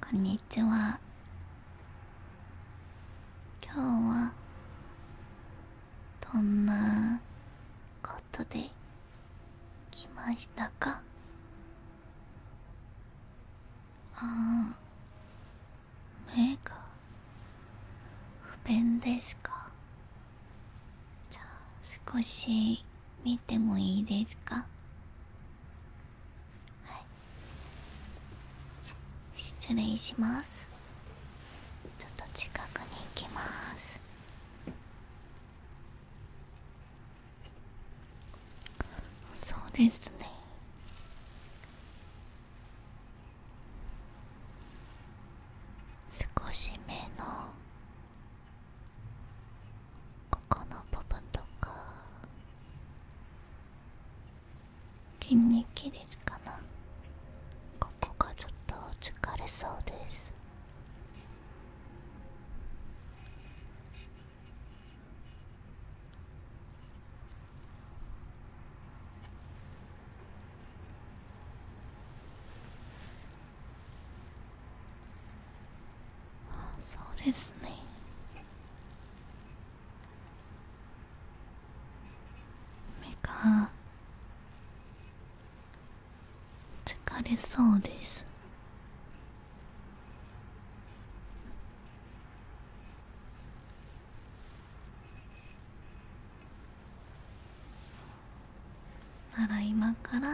こんにちは今日はどんなことで来ましたかああ目が不便ですかじゃあ少し見てもいいですかはい失礼しますちょっと近くに行きますそうですね少し目のここの部分とか筋肉です。かなここがちょっと疲れそうですあそうですね目が疲れそうですなら今から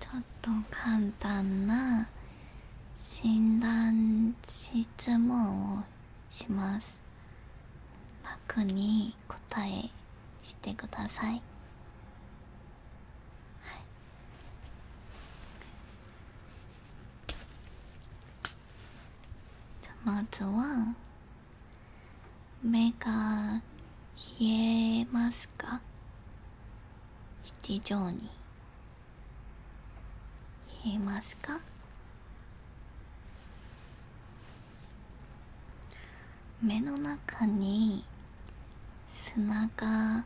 ちょっと簡単な診断質問をします楽に答えしてください、じゃまずは目が冷えますか日常に冷えますか目の中に砂が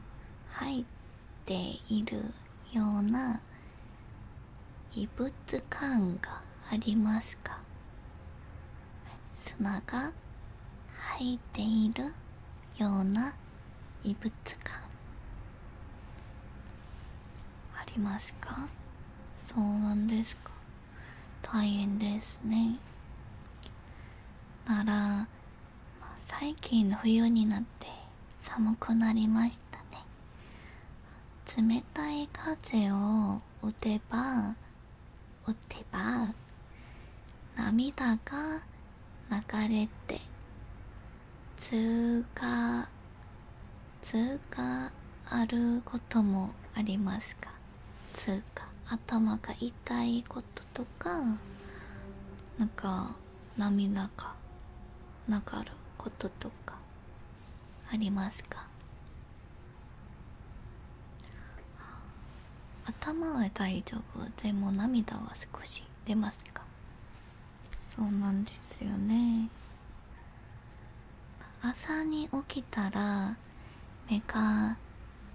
入っているような異物感がありますか砂が入っているような異物感ありますかそうなんですか大変ですねなら、最近冬になって寒くなりましたね冷たい風を打てば打てば涙が流れて通過通過あることもありますか通過頭が痛いこととかなんか涙が流ることとかありますか頭は大丈夫でも涙は少し出ますかそうなんですよね朝に起きたら目が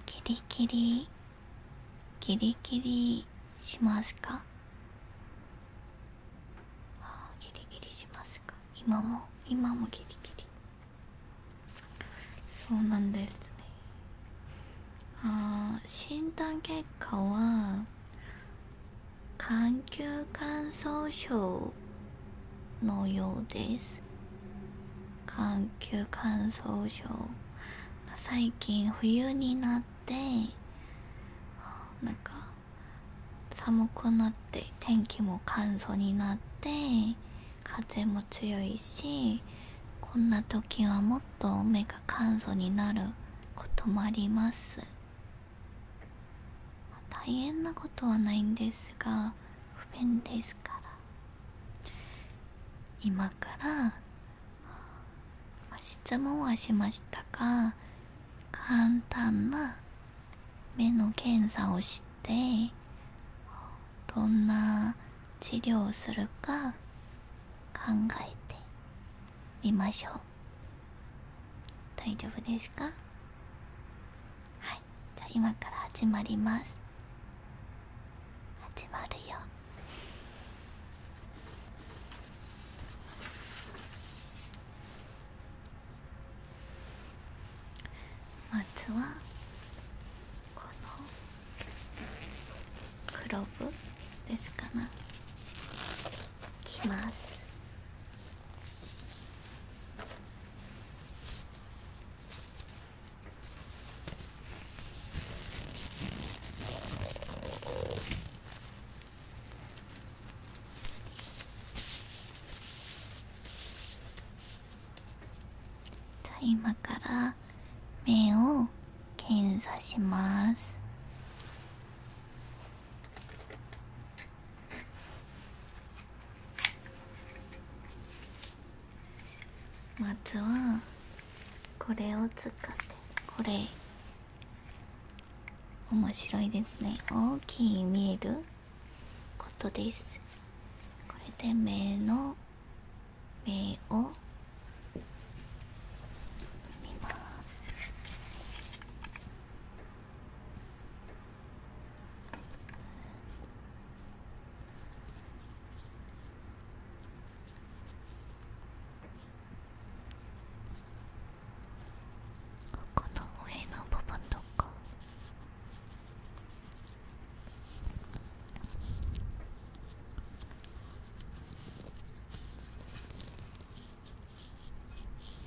キリキリキリキリしますかギリギリしますか今も今もギリギリそうなんですねああ、診断結果は眼球乾燥症のようです眼球乾燥症最近冬になってなんか寒くなって天気も乾燥になって風も強いしこんな時はもっと目が乾燥になることもあります大変なことはないんですが不便ですから今から質問はしましたが簡単な目の検査をしてどんな治療をするか考えてみましょう大丈夫ですかはいじゃあ今から始まります始まるよまずはこの黒部。ですかなきますじゃあ今から目を検査しますまずはこれを使ってこれ面白いですね大きい見えることですこれで目の目を見ますここの上の部分とか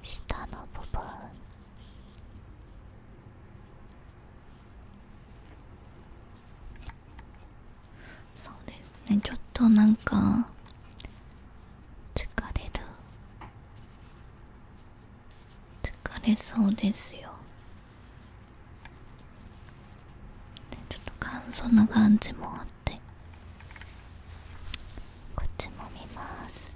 下の部分そうですねちょっとなんか疲れる疲れそうですよちょっと乾燥な感じもあってこっちも見ます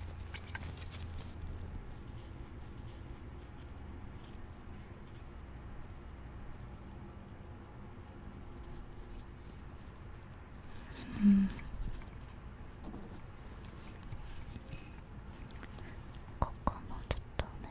うんここまでょっね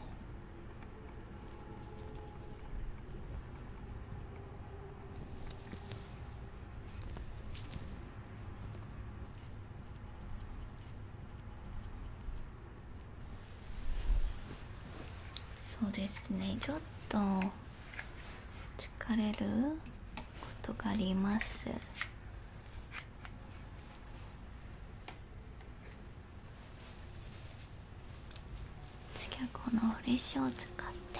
そうですねちょっと疲れることがあります次ゃ、このフレッシュを使って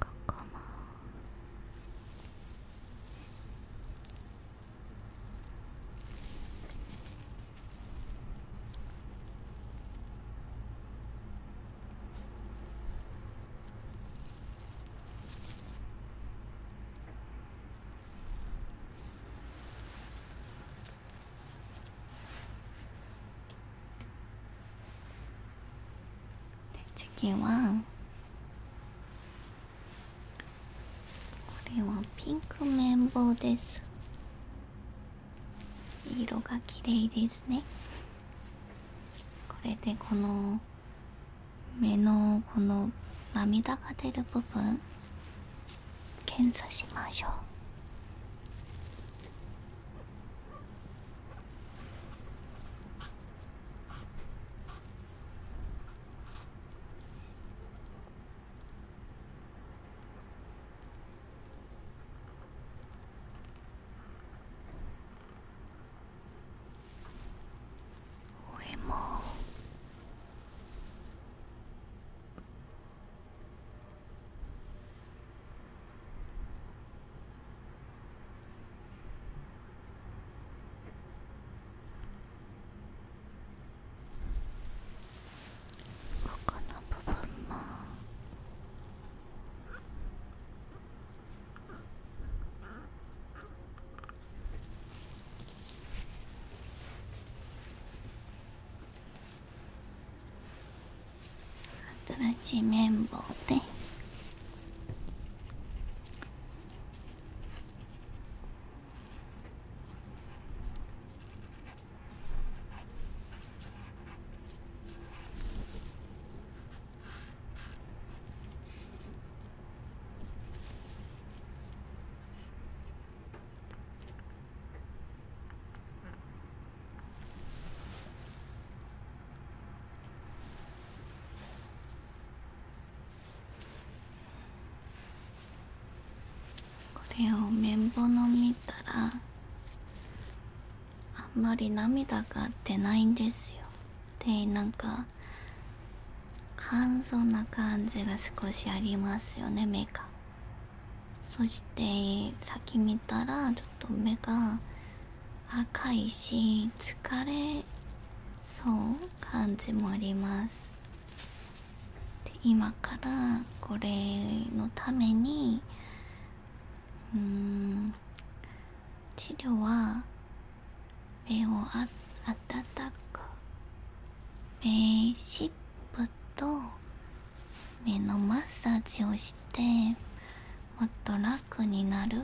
ここもこ次はこれはピンク綿棒です色が綺麗ですねこれでこの目のこの涙が出る部分検査しましょう俺もここの部分もこ新しい綿棒でこれを綿棒の見たらあんまり涙が出ないんですよでなんか簡素な感じが少しありますよね目がそして先見たらちょっと目が赤いし疲れそう感じもあります今からこれのためにうん治療は目を温かく目湿布と目のマッサージをしてもっと楽になる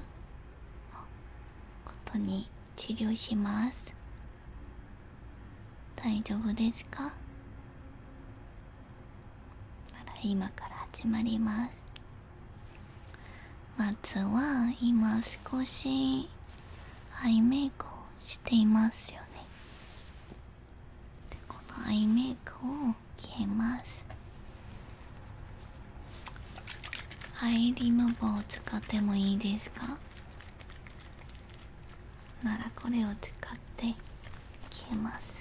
ことに治療します大丈夫ですか今から始まりますまずは今少しアイメイクをしていますよねでこのアイメイクを消えますアイリムーを使ってもいいですかならこれを使って消えます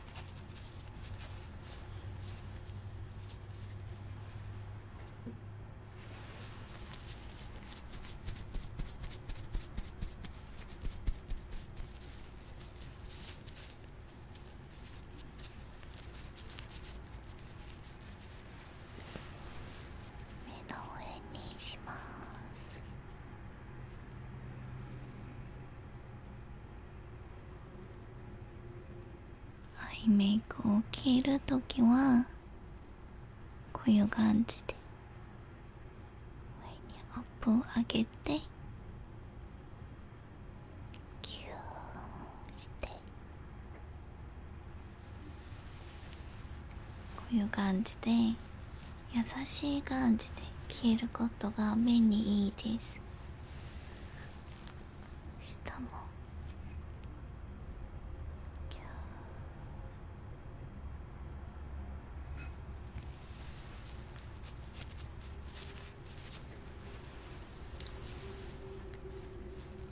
目の上にします。アイメイクを着るときはこういう感じで上にアップを上げてキューしてこういう感じで優しい感じで着ることが目にいいです下もキャー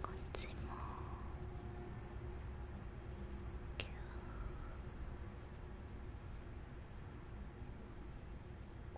こっちもキャー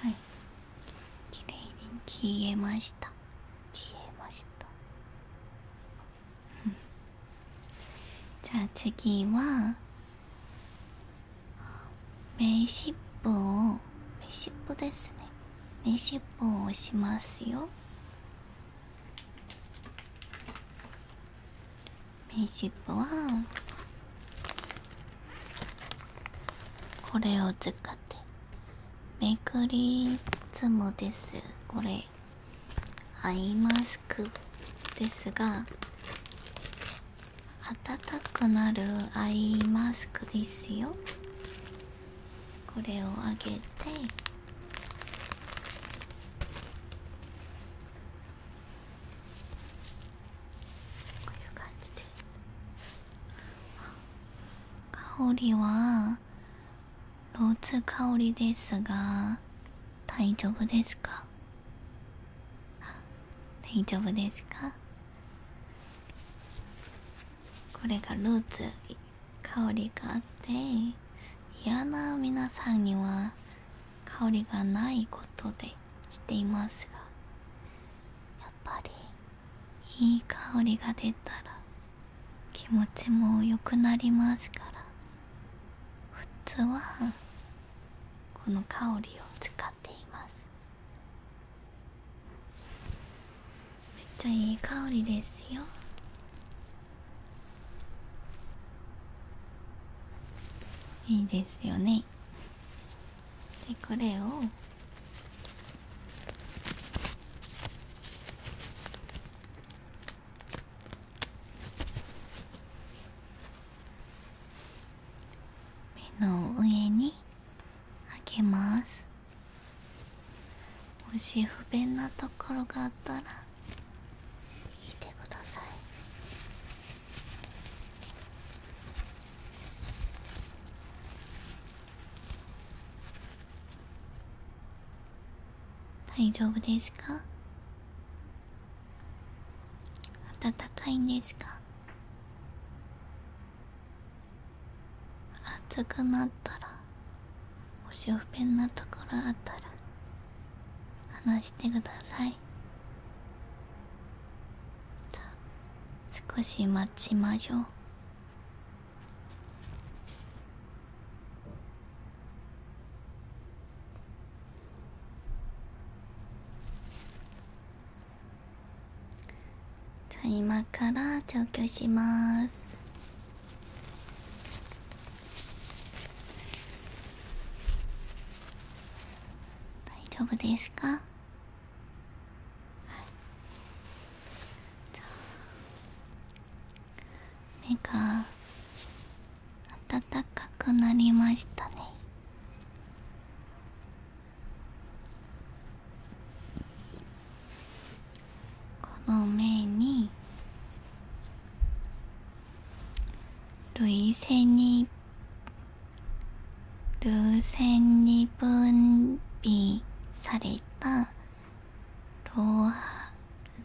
はいきれいに消えました消えましたじゃあ次は目尻尾を目尻尾ですね目尻尾を押しますよ目尻尾はこれを使ってめくりつもですこれアイマスクですが暖かくなるアイマスクですよこれをあげてこういう感じで香りはローズ香りですが大丈夫ですか大丈夫ですかこれがルーツ香りがあって嫌な皆さんには香りがないことでしていますがやっぱりいい香りが出たら気持ちも良くなりますから普通はこの香りを使っていますめっちゃいい香りですよいいですよねでこれを目の上にあけますもし不便なところがあったら聞てください大丈夫ですか暖かいんですか暑くなったらおしょべんなところあったら話してくださいじゃあ少し待ちましょうじゃあ今から調教します大丈夫ですか、はい、目が暖かくなりましたねこの目に涙腺に涙腺に分泌された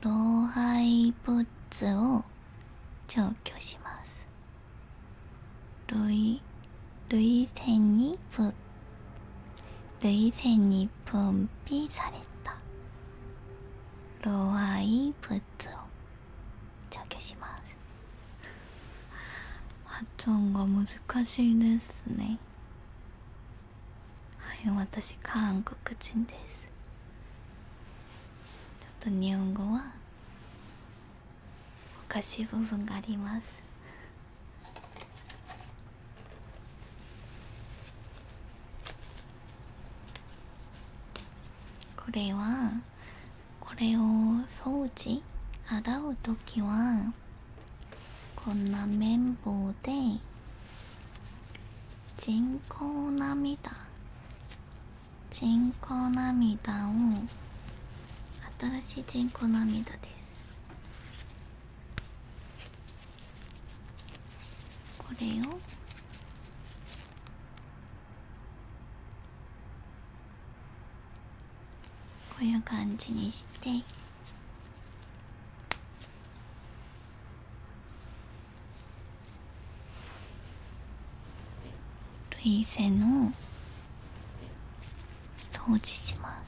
老廃物を除去します。累戦に分累戦に分泌された老廃物を除去します発音が難しいですねはい私韓国人ですちょっと日本語はおかしい部分がありますこれはこれを掃除洗う時はこんな綿棒で人工涙人工涙を新しい人工涙ですこれをこういう感じにして涙腺の掃除します。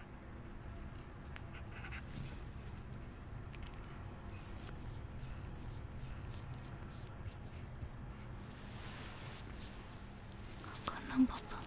かナンバパパ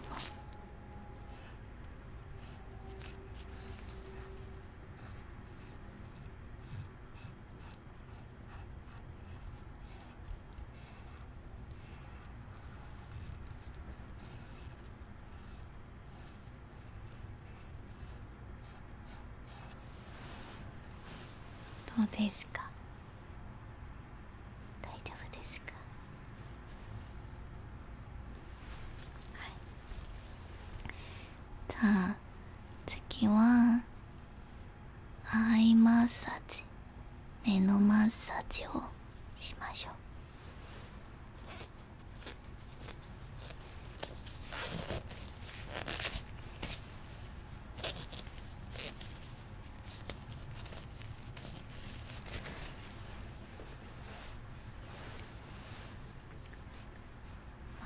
どうですか大丈夫ですかじゃあ次はアイマッサージ目のマッサージをしましょう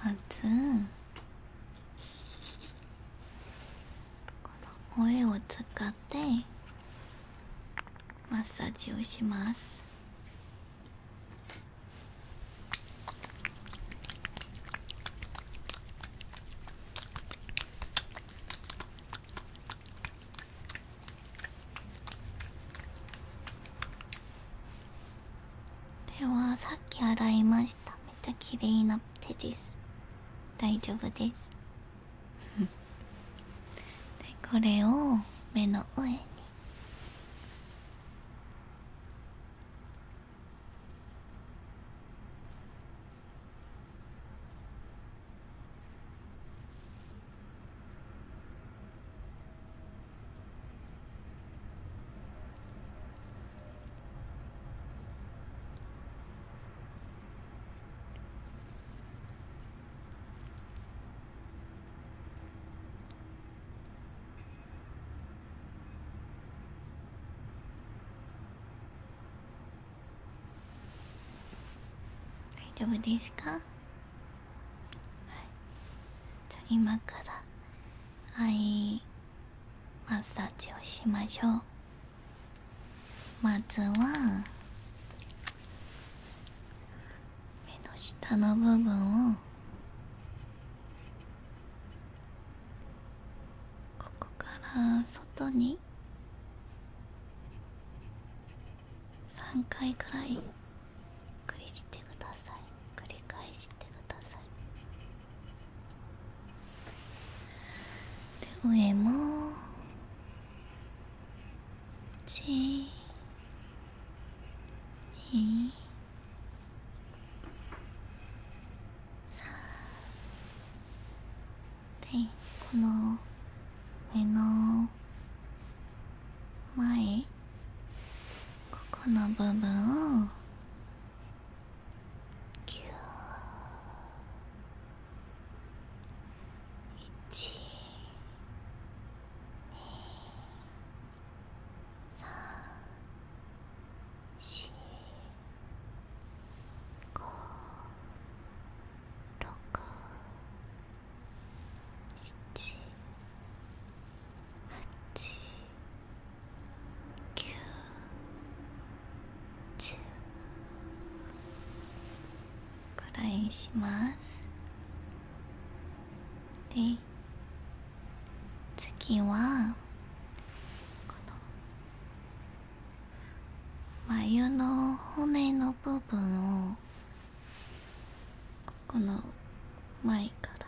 まずこの声を使ってマッサージをしますではさっき洗いましためっちゃ綺麗な手です大丈夫ですでこれを目の上に大丈夫ですか、はい、じゃ今からはい。マッサージをしましょうまずは目の下の部分をここから外に3回くらいくりしてください繰り返してくださいで上も1、2、3、でこの目の前ここの部分をキュくらいします。で次はこの眉の骨の部分をここの前から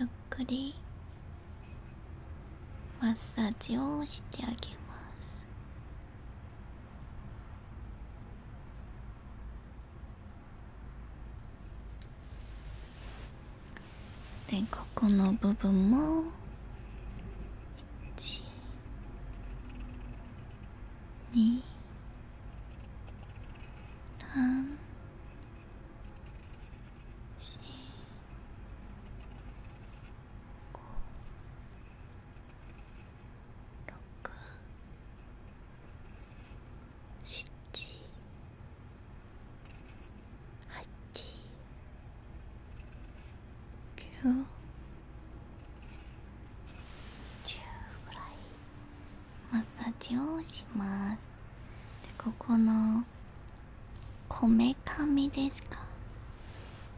ゆっくりマッサージをしてあげますでここの部分も123 910ぐらいマッサージをしますでここのこめかみですか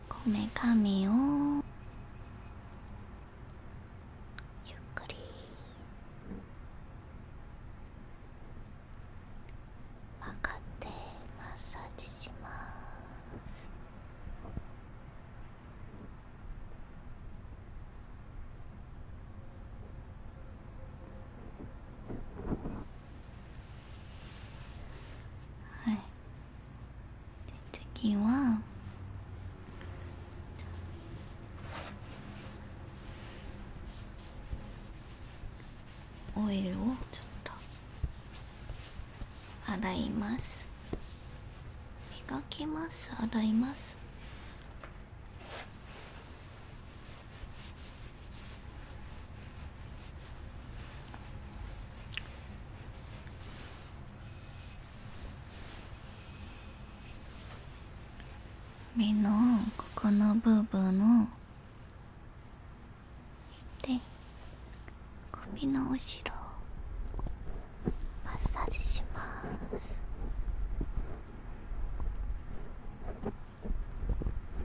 こめかみをゆっくり分かってマッサージしますはい次はオイルをちょっと洗います磨きます洗います目のここの部分をして首の後ろマッサージします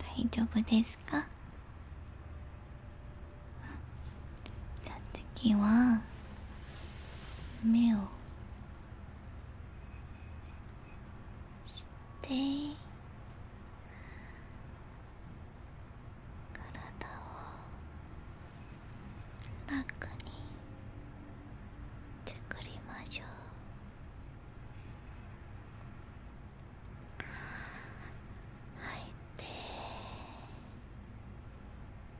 大丈夫ですかじゃあ次は目をして体を楽に作りましょう。吐いて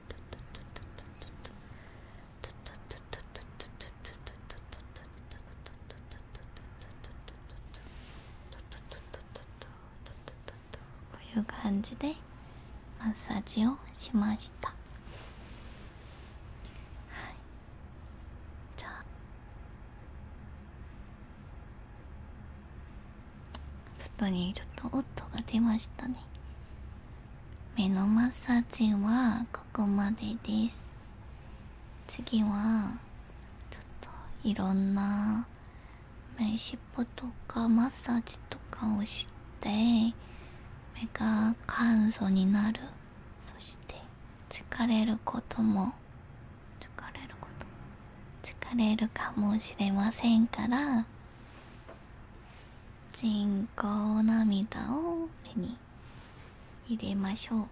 こういう感じでマッサージをしましたはいじゃあ外にちょっと音が出ましたね目のマッサージはここまでです次はちょっといろんな目尻尾とかマッサージとかをして目が簡素になるそして疲れることも疲れること疲れるかもしれませんから人工涙を目に入れましょうま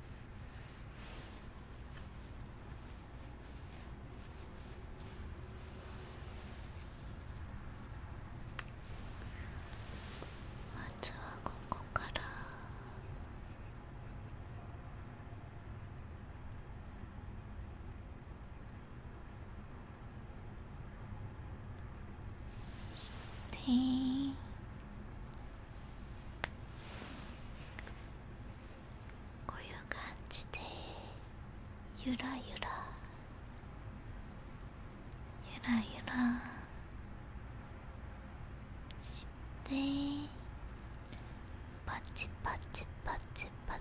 ずはここから。してこういう感じでゆらゆらゆらゆらしてパチパチパチパ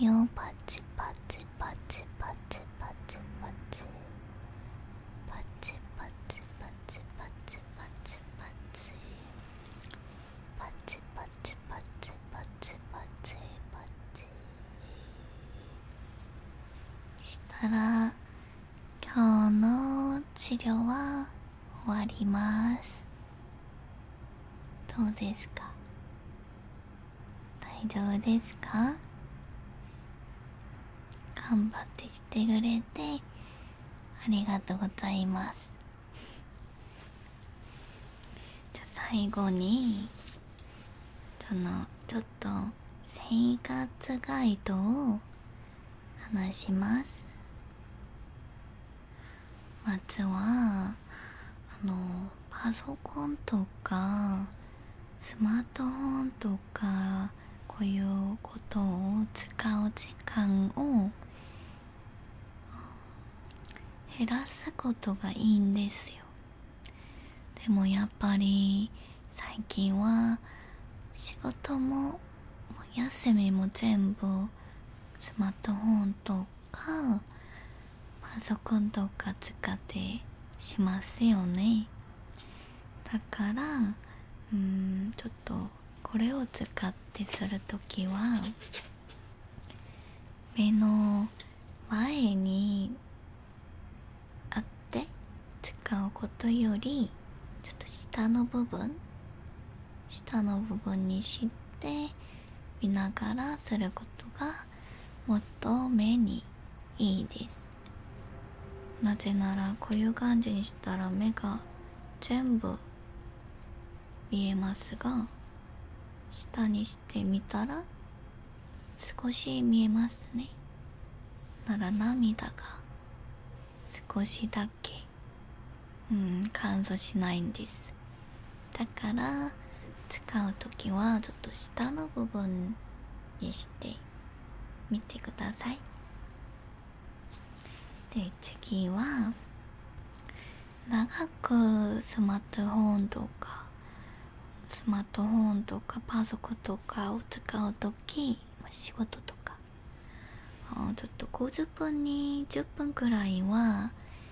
目をパチパチパチパチパチパチパチパチパチパチパチパチパチパチパチパチパチパチしたら今日の治療は終わりますどうですか大丈夫ですか頑張ってしてくれてありがとうございますじゃ最後にそのちょっと生活ガイドを話しますまずはあのパソコンとかスマートフォンとかこういうことを使う時間を減らすことがいいんですよでもやっぱり最近は仕事も休みも全部スマートフォンとパソコンとか使ってしますよねだからうんちょっとこれを使ってする時は目の前にあって使うことよりちょっと下の部分下の部分にしてっ見ながらすることがもっと目にいいですなぜならこういう感じにしたら目が全部見えますが下にしてみたら少し見えますねなら涙が少しだけうん乾燥しないんですだから使う時はちょっと下の部分にしてみてくださいで次は長くスマートフォンとかスマートフォンとかパソコンとかを使う時仕事とかちょっと50分に10分くらいは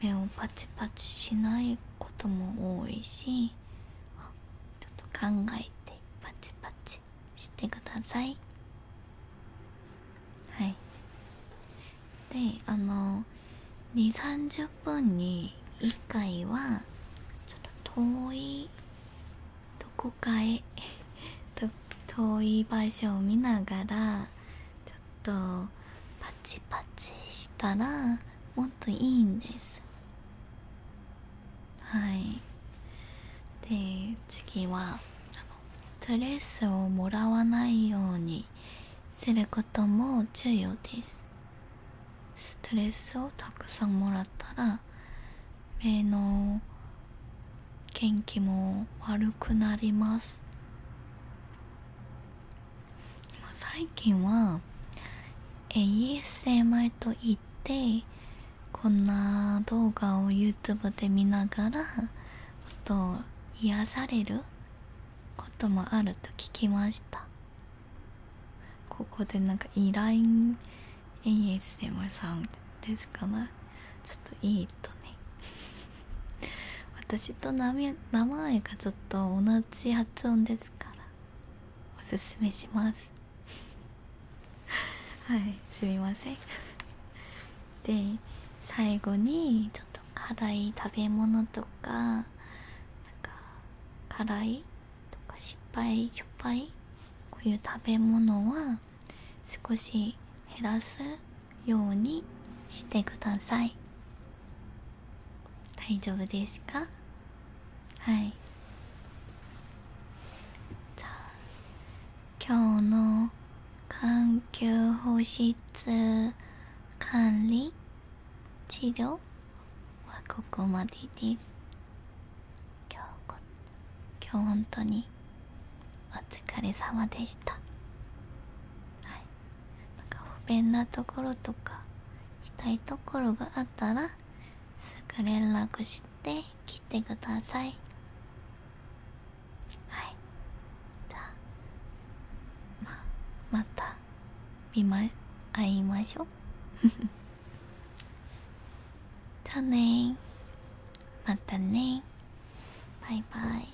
目をパチパチしないことも多いしちょっと考えてパチパチしてくださいはいであの2 3 0分に1回はちょっと遠いどこかへ 遠い場所を見ながらちとパチパチしたらもっといいんですはいで次はストレスをもらわないようにすることも重要ですストレスをたくさんもらったら目の元気も悪くなります最近は a s m 精と言ってこんな動画を YouTube で見ながらあと癒されることもあると聞きましたここでなんか依頼 ASMR さんですかねちょっといいとね 私と名前がちょっと同じ発音ですでからおすめします はいすみませんで最後にちょっと辛い食べ物とかなか辛いとか失敗しょっぱいこういう食べ物は少し減らすようにしてください大丈夫ですかはいじゃあ今日の環境保湿管理治療はここまでです今日こ今日本当にお疲れ様でしたはいなんか不便なところとか痛いところがあったらすぐ連絡して来てくださいはいじゃあまた見ま会いましょう じゃあねまたねバイバイ